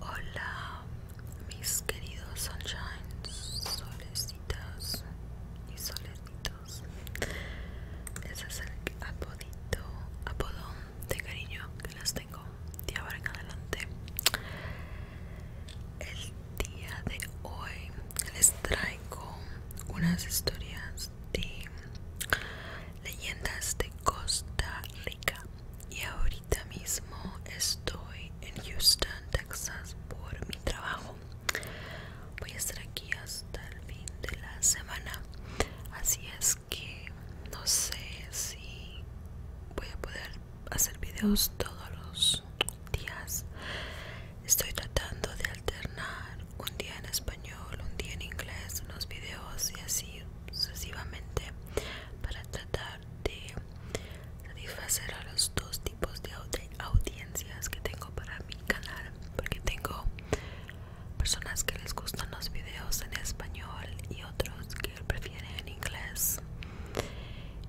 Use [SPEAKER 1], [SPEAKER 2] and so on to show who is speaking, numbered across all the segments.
[SPEAKER 1] Hola mis queridos sunshines, solecitas y solecitos. Ese es el apodito, apodón de cariño que les tengo de ahora en adelante. El día de hoy les traigo unas historias de leyendas de Costa Rica. Y ahorita mismo estoy en Houston, Texas por mi trabajo. Voy a estar aquí hasta el fin de la semana. Así es que no sé si voy a poder hacer videos todos los días. Estoy tratando de alternar un día en español, un día en inglés, unos videos y así sucesivamente para tratar de satisfacer a los dos tipos de audiencias que tengo para mi canal porque tengo personas que les gustan los videos en español y otros que prefieren en inglés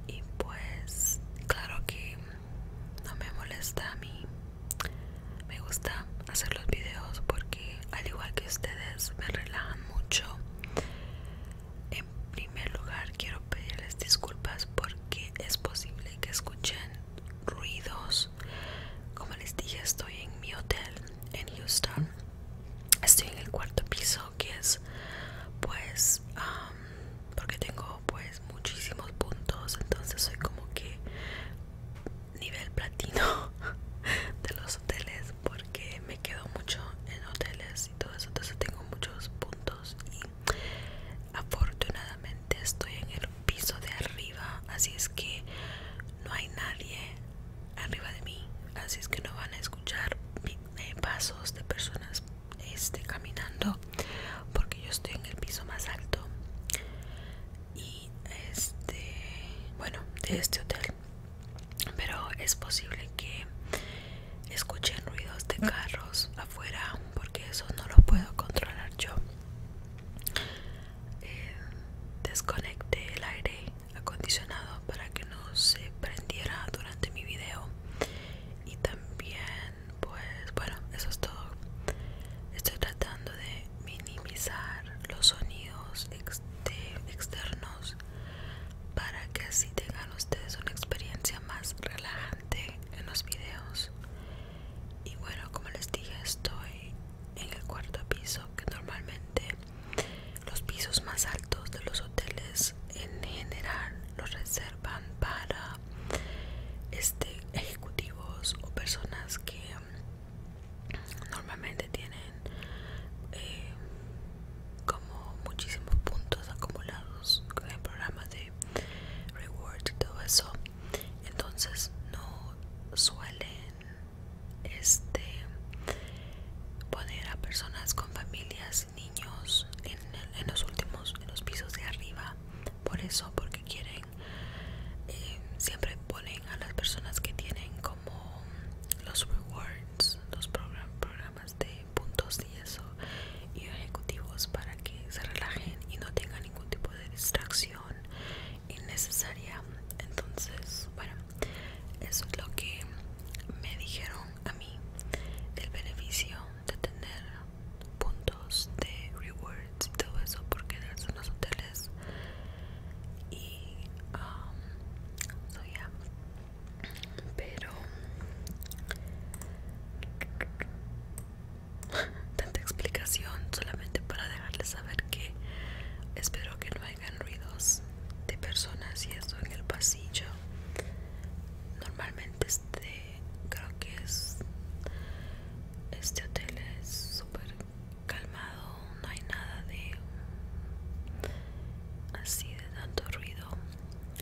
[SPEAKER 1] y pues claro que no me molesta a mí me gusta hacer los videos porque al igual que ustedes me relajan mucho en primer lugar quiero pedirles disculpas porque es posible que escuchen ruidos como les dije estoy en mi hotel en Houston estoy en el cuarto piso que es pues porque tengo pues muchísimos puntos entonces soy como que nivel platino de los hoteles porque me quedo mucho en hoteles y todo eso entonces tengo muchos puntos y afortunadamente estoy en el piso de arriba así es que no hay nadie arriba de mí así es que no van a escuchar eh, pasos de personas este, caminando porque yo estoy en el piso más alto y este bueno de este hotel pero es posible que escuchen ruidos de carros afuera porque eso no lo puedo controlar yo desconecte eh, desconecté el aire acondicionado para que no se prendiera durante mi video y también pues bueno eso es todo estoy tratando de minimizar los sonidos externos para que así tengan ustedes una experiencia más relajante en los videos y bueno como les dije estoy en el cuarto piso que normalmente los pisos más altos de los hoteles en general los reservan para este ejecutivos o personas que normalmente tienen eh, como muchísimos puntos acumulados con el programa de reward y todo eso entonces no suelen este poner a personas con familias niños en, los últimos en los pisos de arriba por eso porque quieren eh, siempre ponen a las personas que tienen como los rewards los programas de puntos y eso, y ejecutivos para que se relajen y no tengan ningún tipo de distracción innecesaria. Entonces, bueno, eso es lo que me dijeron a mí, el beneficio de tener puntos de rewards y todo eso por quedarse en los hoteles y um, so pero tanta explicación solamente para dejarles saber que espero que no hagan ruidos de personas y eso en el pasillo normalmente este creo que es este hotel es súper calma no hay nada de así de tanto ruido.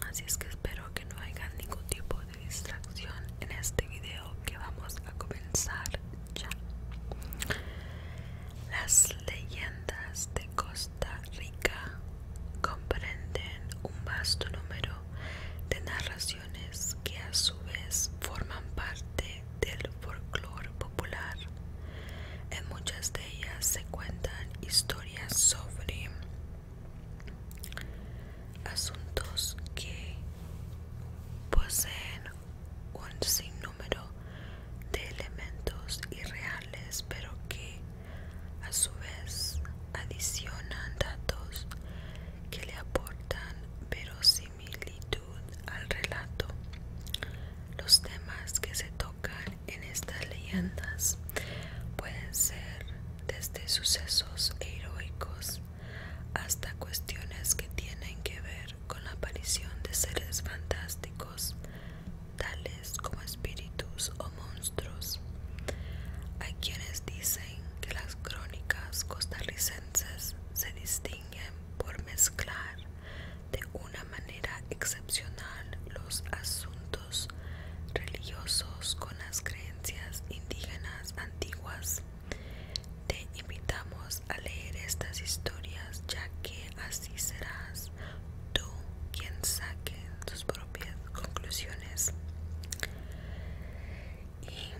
[SPEAKER 1] Así es que espero que no haya ningún tipo de distracción en este video que vamos a comenzar ya. Las leyendas de Costa Rica comprenden un vasto número de narraciones que a su vez forman parte del folclore popular. En muchas de ellas se cuentan historias sobre asuntos que poseen un sinnúmero de elementos irreales, pero que a su vez adicionan datos que le aportan verosimilitud al relato. Los temas que se tocan en estas leyendas pueden ser desde sucesos heroicos hasta cuestiones que tienen que ver con la aparición de seres fantásticos, tales como espíritus o monstruos. Hay quienes dicen que las crónicas costarricenses se distinguen por mezclar de una manera excepcional los asuntos religiosos con las creencias indígenas antiguas. Te invitamos a leer estas historias ya que así serás tú quien saque tus propias conclusiones. Y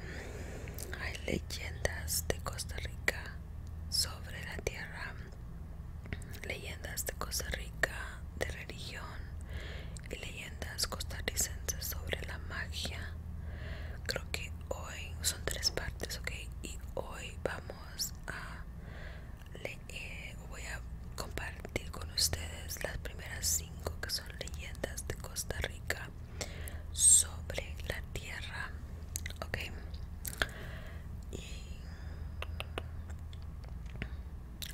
[SPEAKER 1] hay leyendas de Costa Rica sobre la tierra leyendas de Costa Rica, de religión y leyendas costarricenses sobre la magia. Creo que hoy son tres partes, ok, y hoy vamos a leer, voy a compartir con ustedes las primeras cinco que son leyendas de Costa Rica sobre la tierra, ok.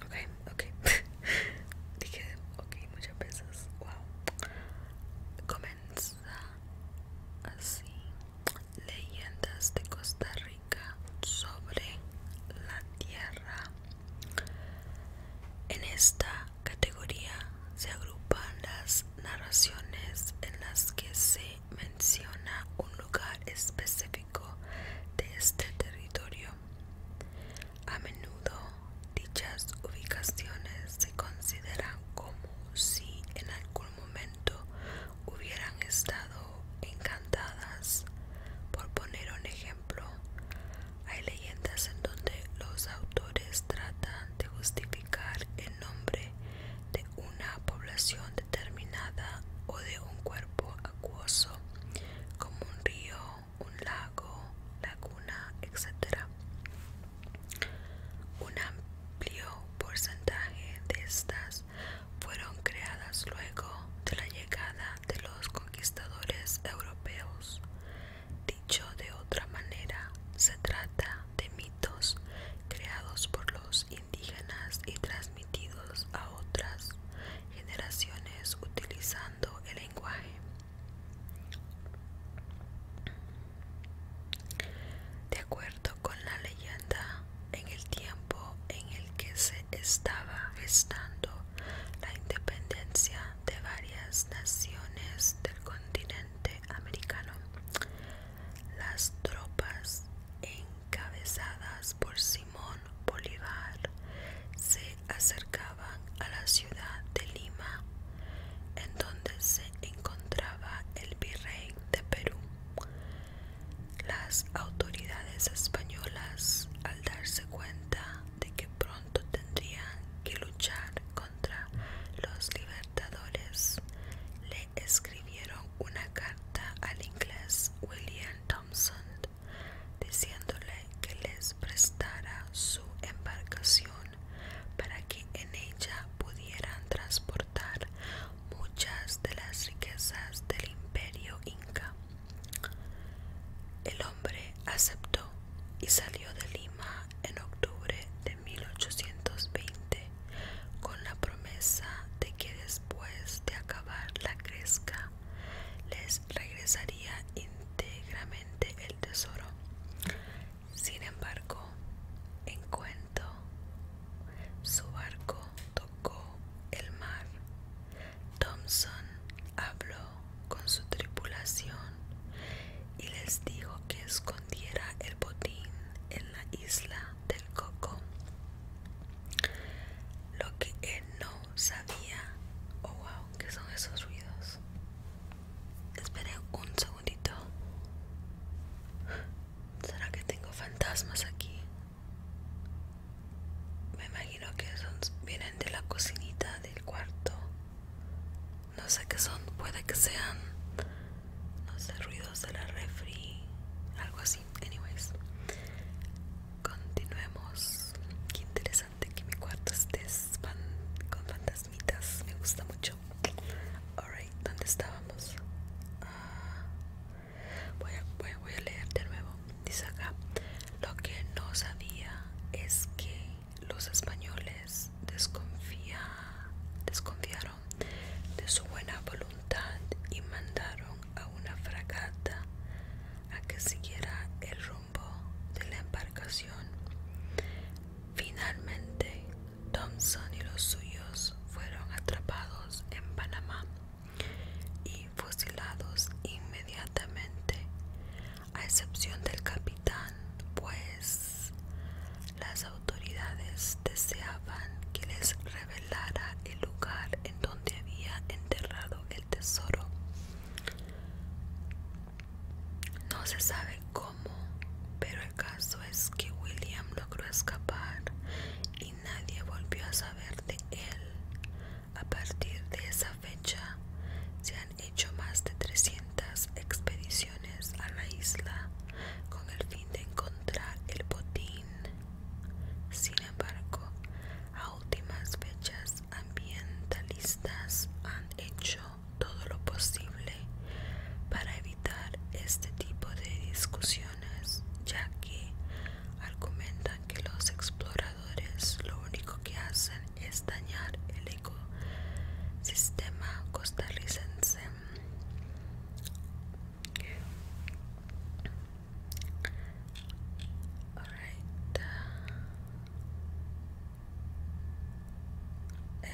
[SPEAKER 1] Ok, ok. Dije, ok, muchas veces. Wow. Comienza así. Leyendas de Costa Rica sobre la tierra. En esta categoría se agrupan las narraciones en las que se menciona un lugar específico de este territorio. A menudo dichas ubicaciones se consideran como si en algún momento hubieran estado encantadas. Por poner un ejemplo, hay leyendas en donde los autores tratan de justificar el nombre de una población determinada o de un cuerpo acuoso como un río, un lago, laguna, etc. Un amplio porcentaje de estas fueron creadas luego de la llegada de los conquistadores europeos. Dicho de otra manera, se trata de mitos creados por los indígenas y transmitidos a otras generaciones utilizando el lenguaje. De acuerdo con la leyenda, en el tiempo en el que se estaba gestando la independencia de varias naciones del continente americano, las tropas en encabezadas por Simón Bolívar, se acercaban a la ciudad de Lima, en donde se encontraba el virrey de Perú. Las autoridades españolas, al darse cuenta de que pronto tendrían que luchar contra los libertadores, escribieron una carta al inglés William Thompson diciéndole que les prestara su embarcación para que en ella pudieran transportar muchas de las riquezas del imperio inca. El hombre aceptó y salió de Lima en octubre de 1820 con la promesa de que después de acabar la cresca les regresaría íntegramente el tesoro. Sin embargo, en cuanto su barco tocó el mar, Thompson habló con su tripulación y les dijo que escondiera el botín en la isla del Coco. Lo que él no sabía. Oh wow, ¿qué son esos ruidos? esperé un segundito. ¿Será que tengo fantasmas aquí? Me imagino que son, vienen de la cocinita del cuarto. No sé qué son, puede que sean no sé, ruidos de la refri, algo así. Anyways, continuemos. Qué interesante que mi cuarto esté con fantasmitas, me gusta mucho. Alright, ¿dónde estábamos? Ah, voy, a, a leer de nuevo. Dice acá: Lo que no sabía es que los españoles desconfía, desconfiaron de su buena voluntad y mandaron a una fragata a que siguiera el rumbo de la embarcación. Finalmente, Thompson y los suyos fueron atrapados en Panamá y fusilados inmediatamente, a excepción del capitán, pues las autoridades deseaban que les revelaran el lugar en donde había enterrado el tesoro. No se sabe cómo, pero el caso es que William logró escapar y nadie volvió a saber de él. A partir de esa fecha se han hecho más de 300 expediciones a la isla con el fin de encontrar el botín sin embargo, a últimas fechas ambientalistas han hecho todo lo posible para evitar este tipo de discusiones, ya que argumentan que los exploradores lo único que hacen es dañar el ecosistema costarricense.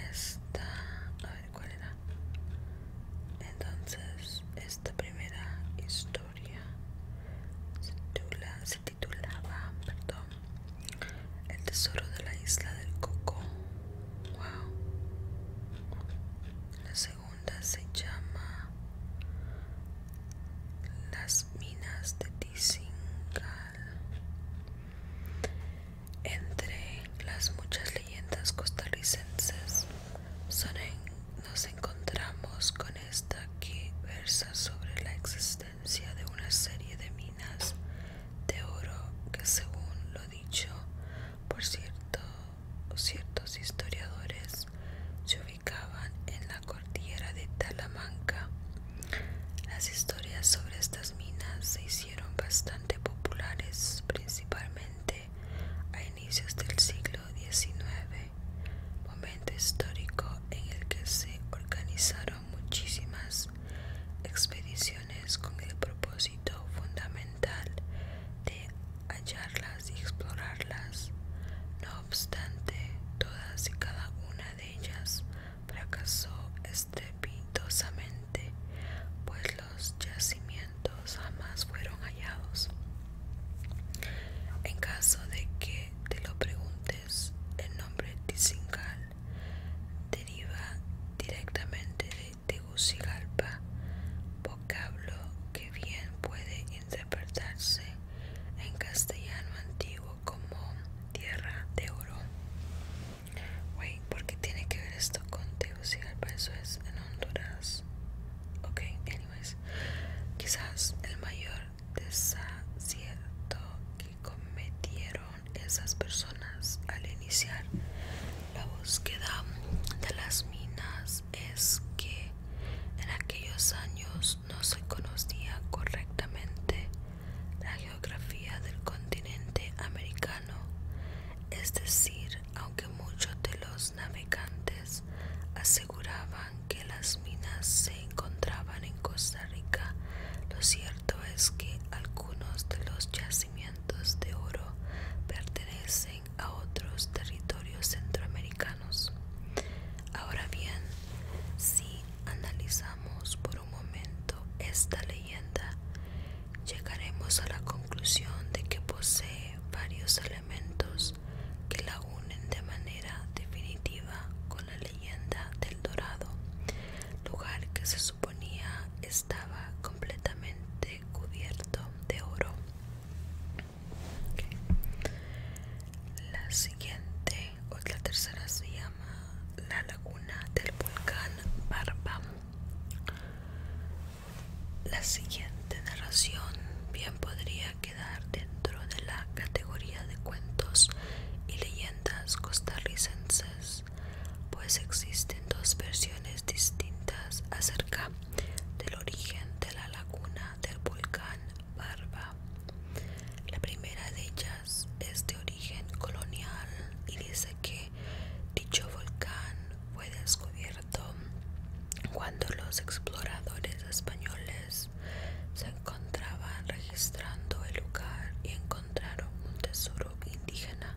[SPEAKER 1] Esta, Entonces, esta primera historia se, titulaba, perdón, El tesoro de la isla del coco. Wow segunda se llama Las minas de Tizingal. Entre las muchas leyendas costarricenses nos encontramos con esta que versa sobre la existencia de una serie de minas de oro que según lo dicho por cierto ciertos historiadores se ubicaban en la cordillera de Talamanca. Las historias sobre estas minas se hicieron bastante populares principalmente a inicios del siglo XIX, momento histórico en el que se organizaron muchísimas expediciones con el propósito fundamental de hallarlas y explorarlas. No obstante, todas y cada una de ellas fracasó estrepitosamente, pues los yacimientos jamás fueron hallados. En caso de que te lo preguntes, el nombre Tizingal deriva directamente de Tegucigalpa, vocablo que bien puede interpretarse en castellano antiguo como tierra de oro. Wey, ¿por qué tiene que ver esto con Tegucigalpa? Eso es en Honduras. Ok, anyways. Quizás el mayor desacierto que cometieron esas personas al iniciar la búsqueda de las minas es que en aquellos años no se conocía correctamente la geografía del continente americano, es decir, aunque muchos de los navegantes aseguraban que las minas se encontraban en Costa Rica, lo cierto es que algunos de los yacimientos de oro pertenecen a otros territorios centroamericanos. Ahora bien, si analizamos por un momento esta leyenda, llegaremos a la conclusión de que posee varios elementos que la unen de manera definitiva con la leyenda del Dorado, lugar que se suponía estaba completamente cubierto de oro. La siguiente o la tercera se llama La Laguna del Volcán Barba. La siguiente narración bien podría quedar dentro de la categoría de cuentos y leyendas costarricenses, pues existen dos versiones distintas acerca del origen de la laguna del volcán Barba. La primera de ellas es de origen colonial y dice que dicho volcán fue descubierto cuando los exploradores españoles se encontraban registrando el lugar y encontraron un tesoro indígena,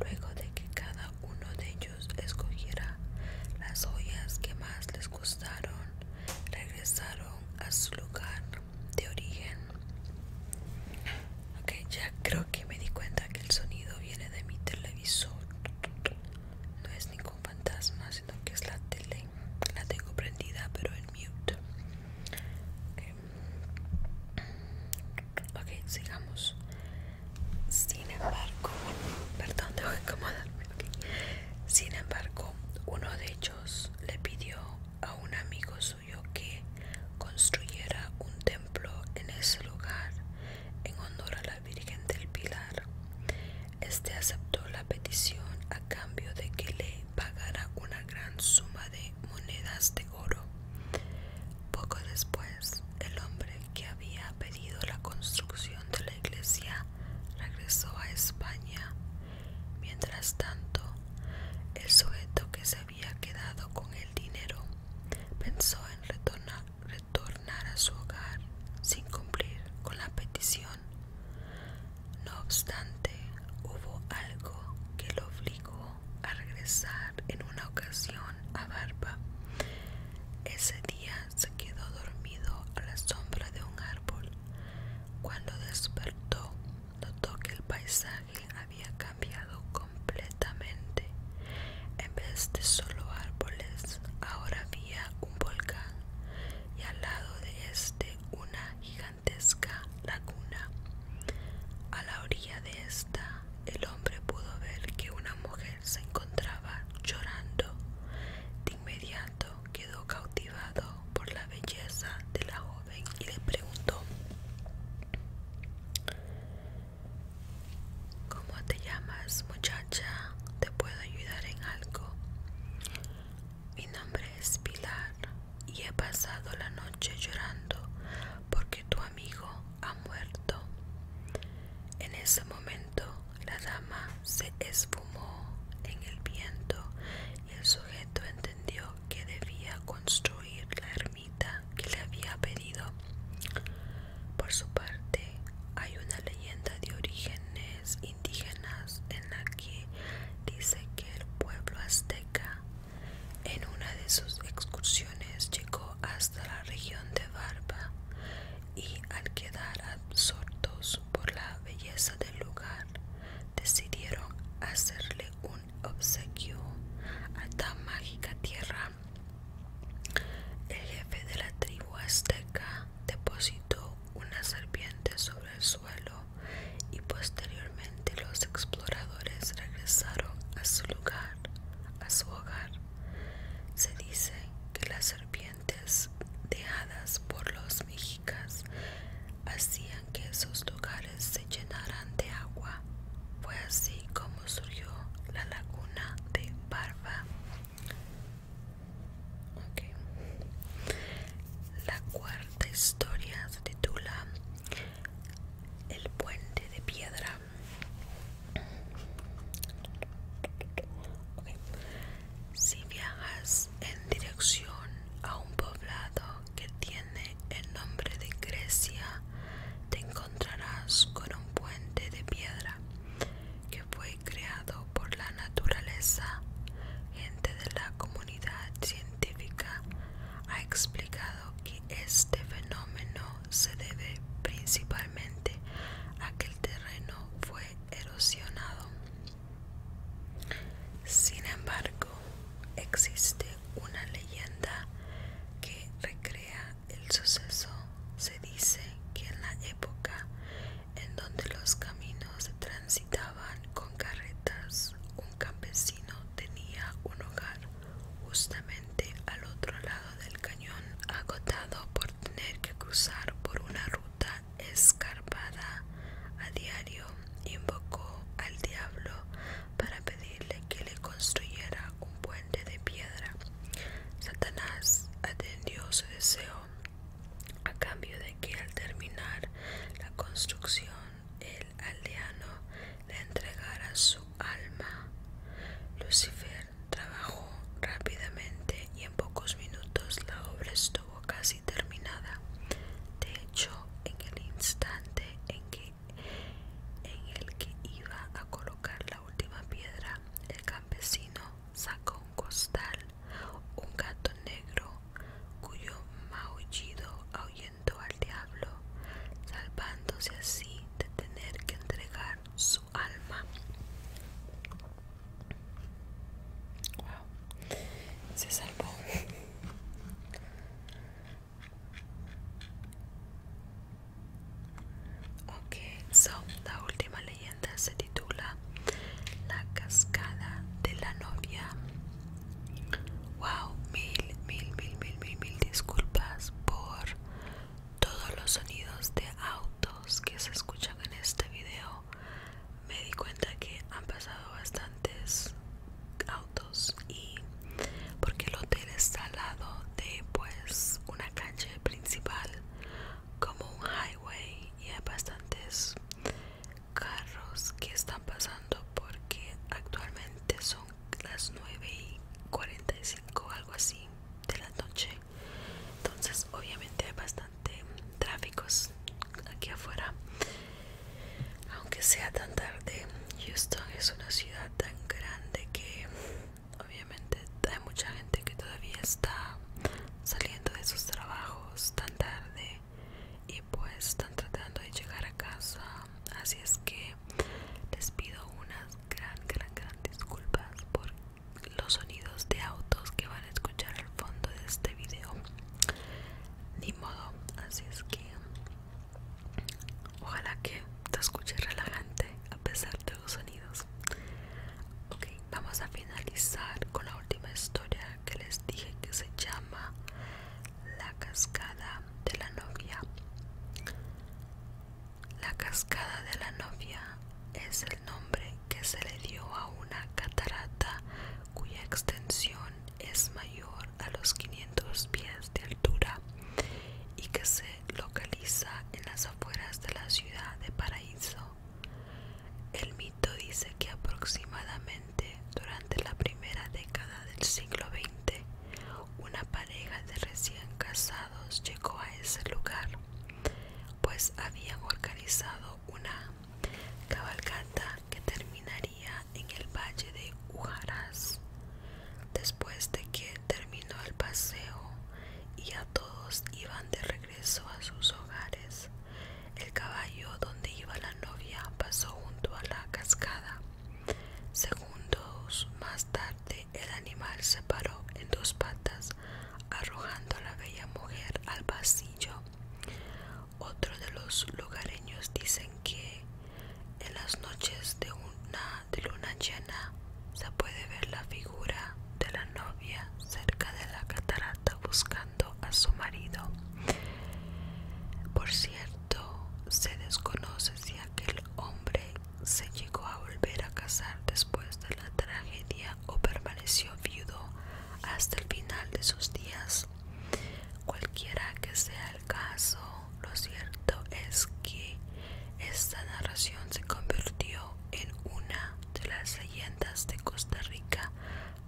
[SPEAKER 1] luego de que cada uno de ellos escogiera las joyas que más les gustaron, regresaron a su lugar de origen. Ok, ya creo que me di cuenta que el sonido viene de mi televisor. No es ningún fantasma, sino que es la tele. La tengo prendida, pero en mute. Ok, okay sigamos. Sin embargo, perdón, Sin embargo, uno de ellos le pidió a un amigo suyo que construyera un templo en ese lugar en honor a la Virgen del Pilar. Este aceptó la petición a cambio de que le pagara una gran suma de monedas de oro. Poco después, el hombre que había pedido la construcción de la iglesia regresó a España. Mientras tanto, el sujeto que se había quedado con el dinero pensó en retornar a su hogar sin cumplir con la petición. No obstante, hubo algo que lo obligó a regresar en una ocasión a Barba. Ese día se quedó dormido a la sombra de un árbol. Cuando despertó, notó que el paisaje había cambiado completamente. En vez de solo árboles, ahora había un volcán y al lado de este una gigantesca laguna. A la orilla de esta, el el hombre pudo ver que una mujer se encontraba llorando. De inmediato quedó cautivado por la belleza de la joven y le preguntó, ¿Cómo te llamas muchacha? ¿Te puedo ayudar en algo? Mi nombre es Pilar y he pasado la noche llorando porque tu amigo ha muerto. En ese momento la dama se esfumó en el viento y el sujeto entendió que debía construir la ermita que le había pedido. Por su parte, hay una leyenda de orígenes indígenas en la que dice que el pueblo azteca en una de sus excursiones llegó hasta la región de Barba y al quedar absortos por la belleza del lugar, decidieron hacerle un obsequio a tan mágica tierra. El jefe de la tribu azteca depositó una serpiente sobre el suelo y posteriormente los exploradores regresaron a su lugar, a su hogar. Se dice que las serpientes dejadas por los mexicas hacían que esos lugares se llenaran de agua. Fue así como surgió la laguna de Barba, la cuarta historia se titula El puente de piedra. Si viajas en dirección a un poblado que tiene el nombre de Grecia, te encontrarás con un puente de piedra que fue creado por la naturaleza. Gente de la comunidad científica ha explicado que este fenómeno se debe principalmente a que el terreno fue erosionado. Sin embargo, existe una leyenda que recrea el suceso. Se dice que en la época en donde los caminos transitaban con carretas, un campesino tenía un hogar justamente al otro lado del cañón agotado por tener que cruzar por una ruta escarpada a diario, invocó al diablo para pedirle que le construyera un puente de piedra. Satanás atendió su deseo a cambio de que al terminar la construcción el aldeano le entregara su alma. Lucifer Trabajó rápidamente y en pocos minutos la obra estuvo casi terminada. De hecho, en el instante en que en el que iba a colocar la última piedra, el campesino sacó un costal, un gato negro, cuyo maullido ahuyentó al diablo, salvándose así de tener que entregar su alma. Wow, se salvó. Ok, so la última leyenda se titula La cascada de la novia. Wow, mil, mil, mil, mil, mil, mil disculpas por todos los sonidos de autos que se escuchan en este video me di cuenta que han pasado bastantes autos y porque el hotel está al lado de pues una calle principal como un highway y hay bastantes carros que están pasando porque actualmente son las 945 y algo así de la noche entonces obviamente hay bastante tráfico aquí afuera aunque sea tan tarde Houston es una ciudad tan grande que obviamente hay mucha gente que todavía está saliendo de sus trabajos tan tarde y pues están tratando de llegar a casa así es que les pido unas gran gran gran disculpas por los sonidos de autos que van a escuchar al fondo de este video ni modo así es que ojalá que te escuche relajante a pesar de los sonidos ok vamos a finalizar con la última historia que les dije que se llama la cascada de la novia la cascada de la novia es el nombre que se le dio a una catarata cuya extensión es mayor a los 500 pies de altura y que se localiza en las afueras de la ciudad de Paraíso. El mito dice que aproximadamente durante la primera década del siglo XX, una pareja de recién casados llegó a ese lugar pues habían organizado una cabalgata que terminaría en el valle de Ujaraz Después de que terminó el paseo y a todos iban de regreso a sus hogares, el caballo donde iba la novia pasó junto a la cascada. Segundos más tarde el animal se paró en dos patas, arrojando a la bella mujer al pasillo. Otro de los lugareños dicen que en las noches de una de luna llena se puede ver la figura de la novia cerca de la catarata buscando a su marido. Por cierto, se desconoce si aquel hombre se llegó a volver a casar después de la tragedia o permaneció viudo hasta el final de sus días. Cualquiera que sea el caso, lo cierto es que esta narración se convirtió en una de las leyendas de Costa Rica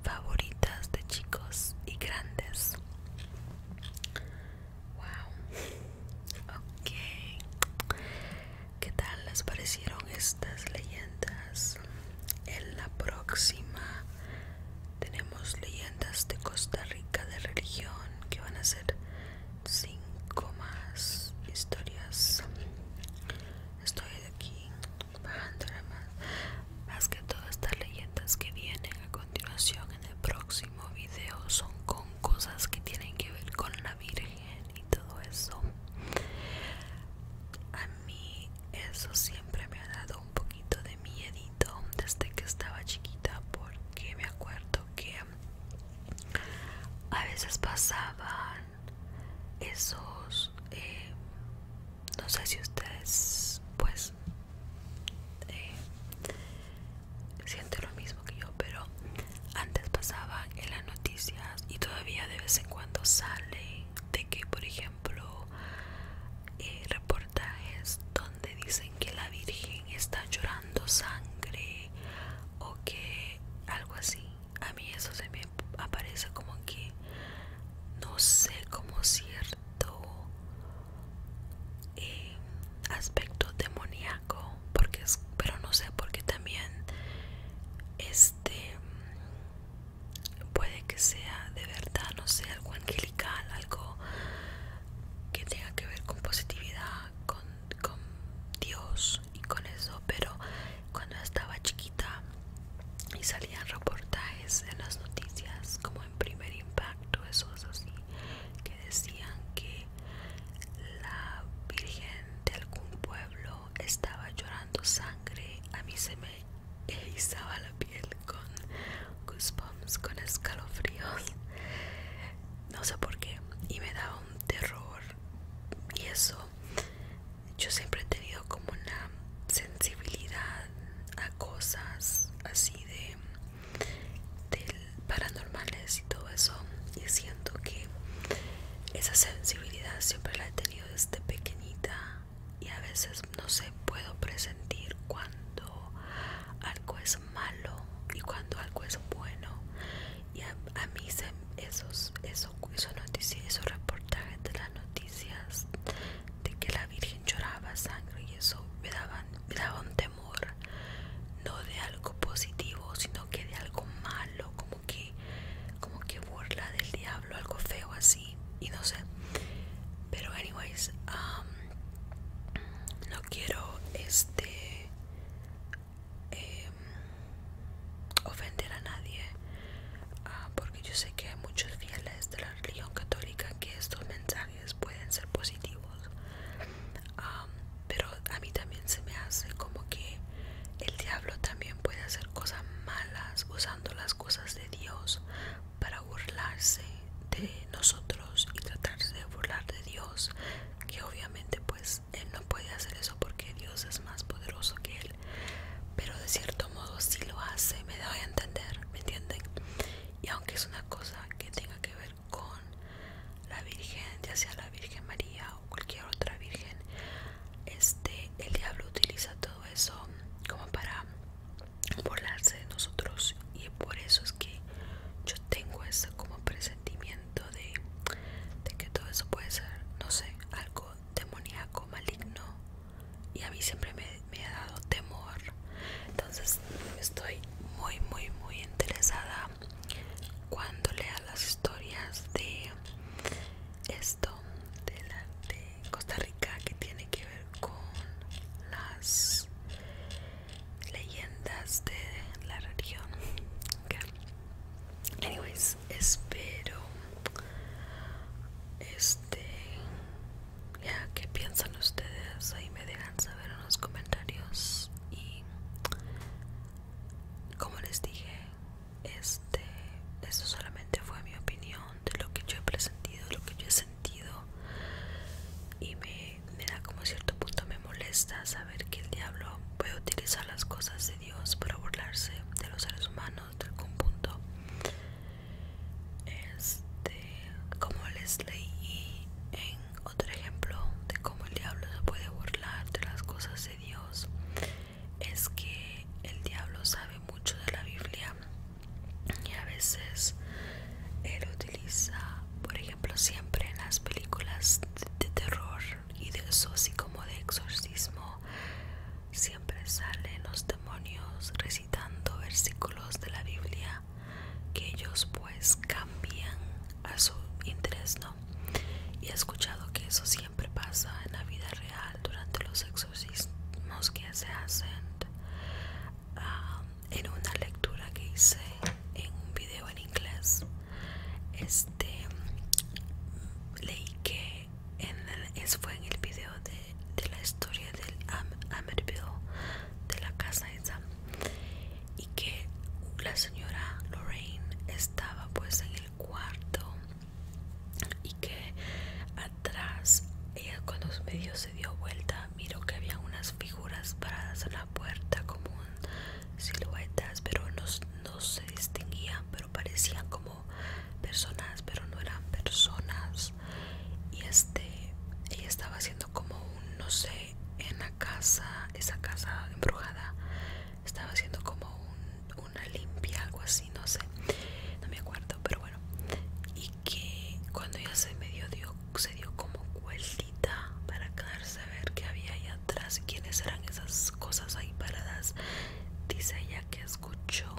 [SPEAKER 1] favoritas de chicos y grandes. Wow qué tal les parecieron estas leyendas. En la próxima tenemos leyendas de Costa Rica de religión, que van a ser cinco más historias. Estoy aquí bajando más. Más que todas estas leyendas que vienen a continuación en el próximo video son con cosas que tienen que ver con la Virgen y todo eso a mí eso siempre me ha dado un poquito de miedo desde que estaba chiquita porque me acuerdo que a veces pasaban esos eh, no sé si ustedes pues eh, sienten lo mismo que yo, pero antes pasaban en las noticias y todavía de vez en cuando sale de que, por ejemplo, eh, reportajes donde dicen que la Virgen está llorando sangre o que algo así. A mí eso se me aparece como que no sé como cierto eh, aspecto demoníaco porque pero no sé porque también este puede que sea de verdad no sé algo angelical algo que tenga que ver con positividad con, Dios y con eso pero cuando estaba chiquita y salían reportajes en las noticias como en primer impacto esos así que decían que la virgen de algún pueblo estaba llorando sangre, a mí se me erizaba la piel con goosebumps, con escalofríos, no sé por qué, y me daba un terror. Y eso, yo siempre he tenido como una sensibilidad a cosas así de paranormales y todo eso y siento que esa sensibilidad siempre la he tenido desde pequeñita y a veces no sé puedo presentir cuando algo es malo y cuando algo es bueno y a, mí esos, esos, esos, noticias, reportajes de las noticias de que la Virgen lloraba sangre y eso me me daba un temor no de algo positivo sino que de algo malo, como que como que burla del diablo, algo feo así, y no sé. Pero anyways, um, no quiero este em, ofender a nadie, ah, porque yo sé que hay muchos fieles de la religión católica que estos mensajes pueden ser positivos. Um, pero a mí también se me hace como que el diablo también puede hacer cosas malas usando las cosas de Dios para burlarse de nosotros y tratarse de burlar de Dios que obviamente pues él no puede hacer eso porque Dios es más poderoso que él pero de cierto modo si lo hace me doy a entender me entienden y aunque es una cosa que tenga que ver con la Virgen ya sea la Virgen María cualquier otra virgen este el diablo utiliza todo eso como para burlarse de nosotros y por eso es que yo tengo ese como presentimiento de, que todo eso puede ser no sé algo demoníaco maligno y a mí siempre me, me ha dado temor entonces estoy muy muy muy interesada cuando lea las historias de esto de, Costa Rica que tiene que ver con las leyendas de la región. Anyways, espero este ya que piensan ustedes ahí me dejan saber en los comentarios y como les dije este esto solamente fue mi opinión de lo que yo he presentido lo que yo he sentido y me, me da como cierto punto me molesta saber que el diablo puede utilizar las cosas de Dios para burlarse de los seres humanos de algún punto este como les leí en otro ejemplo de cómo el diablo se puede burlar de las cosas de Dios es que el diablo sabe mucho de la Biblia y a veces él utiliza, por ejemplo, siempre en las películas de, terror y de como de exorcismo, siempre salen los demonios recitando versículos de la Biblia que ellos pues cambian a su interés y he escuchado que eso siempre pasa en la vida real durante los exorcismos que se hacen. Um, en una lectura que hice en un video en inglés, este leí que eso fue en el video de, la historia del Ametville de la casa esa y que la señora Lorraine estaba pues en cuarto y que atrás ella cuando medio se dio vuelta miro que había unas figuras paradas en la puerta como siluetas pero no, se distinguían pero parecían como personas pero no eran personas y este ella estaba haciendo como un no sé en la casa esa casa embrujada estaba haciendo como un una limpia, algo así, no sé, no me acuerdo, pero bueno. Y que cuando ya se medio dio, se dio como cueldita para quedarse a ver qué había ahí atrás, y quiénes eran esas cosas ahí paradas. Dice ella que escuchó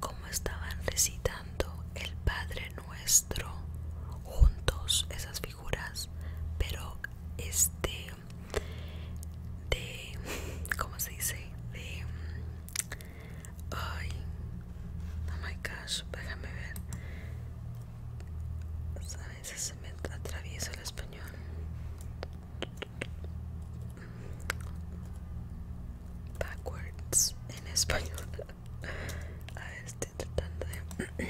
[SPEAKER 1] cómo estaban recitando el Padre Nuestro juntos esas figuras, pero este de cómo se dice de ay oh my gosh déjame ver a veces se me atraviesa el español backwards en español a ver, estoy tratando de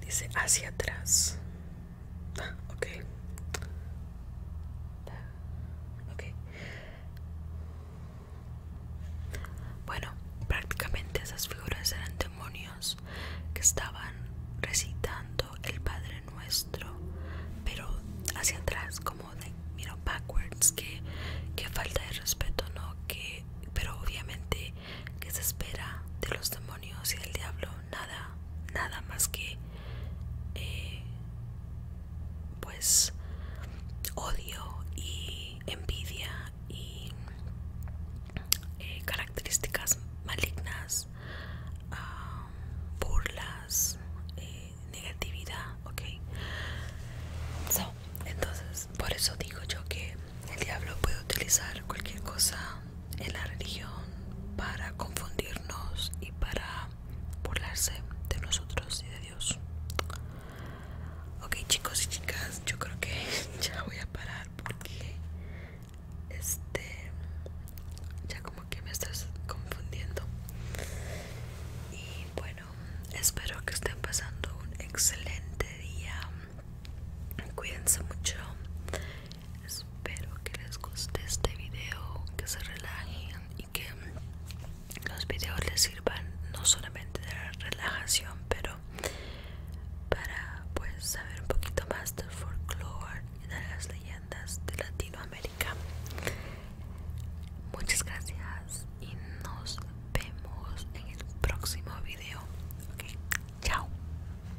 [SPEAKER 1] dice hacia atrás Ah, ah, bueno, prácticamente esas figuras eran demonios que estaban recitando el Padre Nuestro, pero hacia atrás, como de, mira backwards, que, que falta de respeto, ¿no? Que, pero obviamente, que se espera de los demonios y del diablo? nada, nada más que eh, pues odio y envidia y eh, características malignas, burlas, eh, negatividad, ok. entonces, por eso digo yo que el diablo puede utilizar cualquier cosa en la religión para confundirnos y para burlarse de nosotros y de Dios. Ok chicos y chicas, yo creo que ya voy a parar porque este ya como que me estás confundiendo. Y bueno, espero que estén pasando un excelente día. Cuídense mucho Espero que les guste este video, que se relajen y que los videos les sirvan no solamente de relajación, pero para pues saber un poquito más del folclore y de las leyendas de Latinoamérica. Muchas gracias y nos vemos en el próximo video. chao.